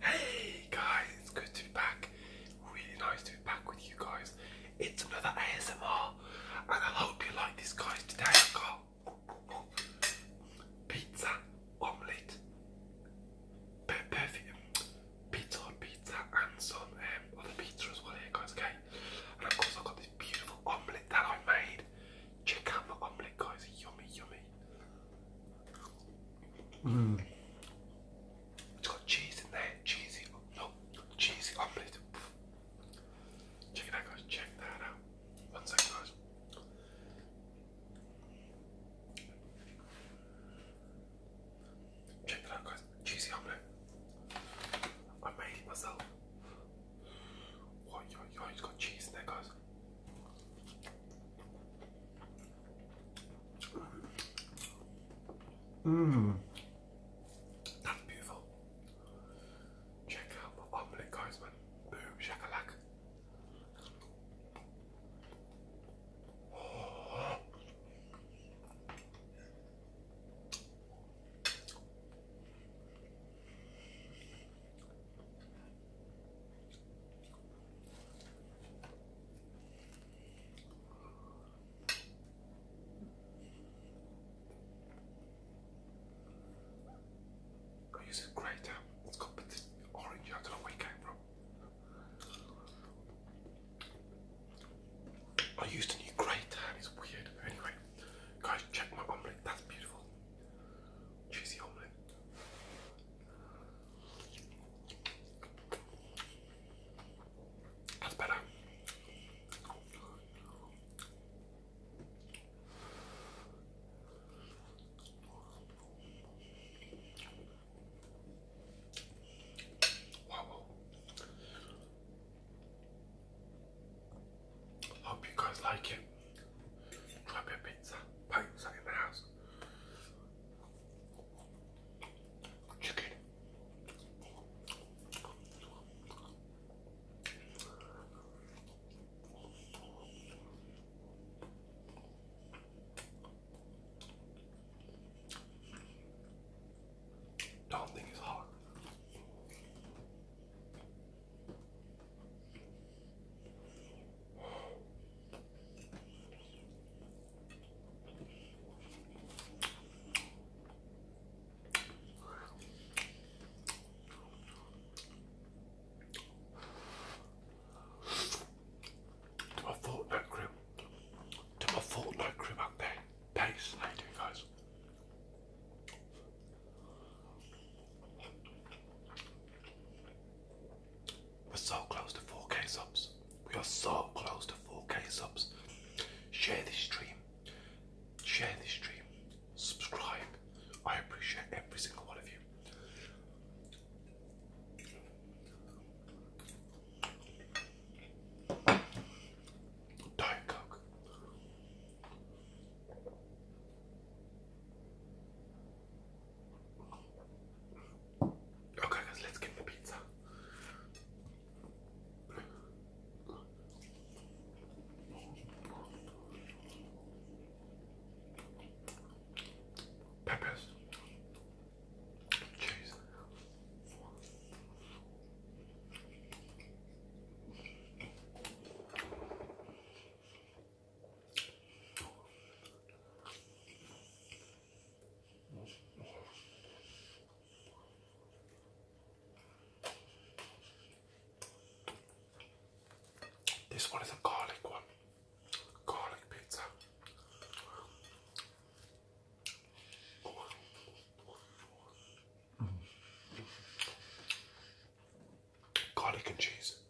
Hey guys, it's good to be back. Really nice to be back with you guys. It's another ASMR, and I hope you like this, guys. Today I've got pizza omelette, perfect pizza on pizza, and some um, other pizza as well, here, guys. Okay, and of course, I've got this beautiful omelette that I made. Check out the omelette, guys. Yummy, yummy. Mm. It's got cheese in there. Cheesy. Oh, no. Cheesy omelette. Check it out, guys. Check that out. One second, guys. Check that out, guys. Cheesy omelette. I made it myself. Oh, yo, yo, it's got cheese in there, guys. Mmm. That's beautiful. Check out my omelette, guys, man. Boom, shakalak. I use a great um, it's got orange, I don't know where it came from. I used a new grey tan, it's weird. Anyway, guys, check my omelette, that's beautiful. Cheesy omelette. That's better. Hope you guys like it drop your pizza, pizza in the house. Chicken. Don't think it's hard. To my fortnight crew, to my fortnight crew up there. Thanks, how you doing, guys? We're so close to 4k subs. We are so close to 4k subs. Share this stream. Share this stream. Subscribe. I appreciate every single one of you. Diet Coke. Okay, let's get the pizza. Peppers, cheese. This one is a garlic one, garlic pizza. Mm. Garlic and cheese.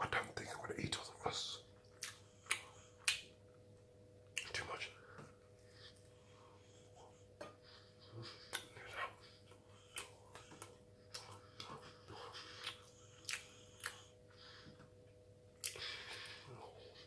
I don't think I'm going to eat all of this. Too much.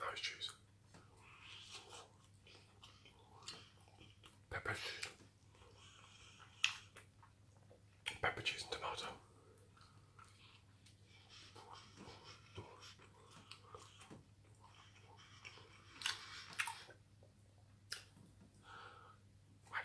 Nice cheese. Pepper cheese. Pepper cheese and tomato. Like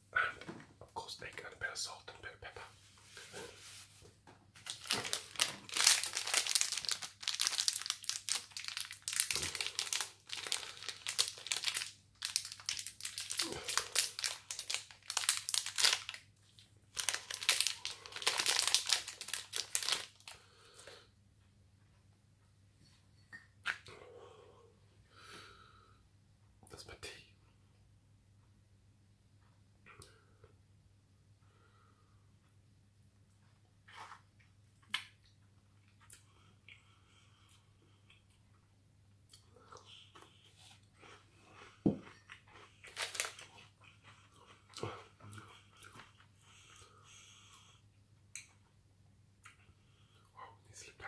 and of course egg and a bit of salt and a bit of pepper. That's my tea. Oh, he slipped out.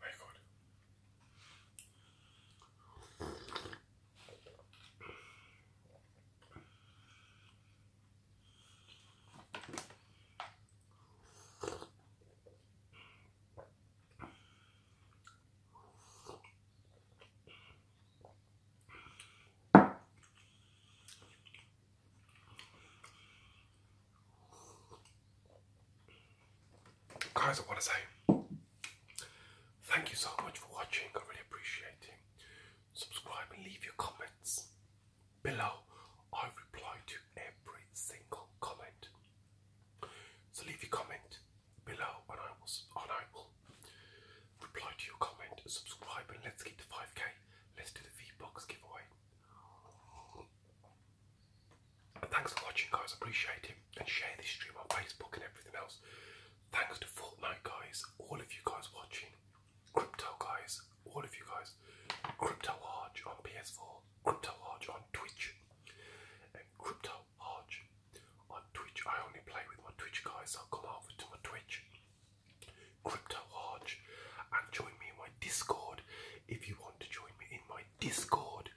Very oh good. Guys, I want to say thank you so much for watching. I really appreciate it. Subscribe and leave your comments below. I reply to every single comment. So leave your comment below and I will, and I will reply to your comment, subscribe, and let's get to 5k. Let's do the V-Box giveaway. thanks for watching, guys. Appreciate it. And share this stream on Facebook and everything else. Thanks to Fortnite, guys. All of you guys watching. Crypto, guys. All of you guys. Crypto Arch on PS4. Crypto Arch on Twitch. And Crypto Metal On Twitch, I only play with my Twitch guys, so come over to my Twitch, Crypto Arch, and join me in my Discord. If you want to join me in my Discord,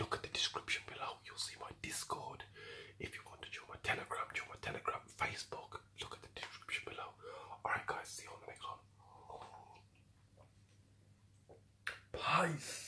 look at the description below, you'll see my Discord. If you want to join my Telegram, join my Telegram, Facebook, look at the description below. Alright, guys, see you on the next one. Peace.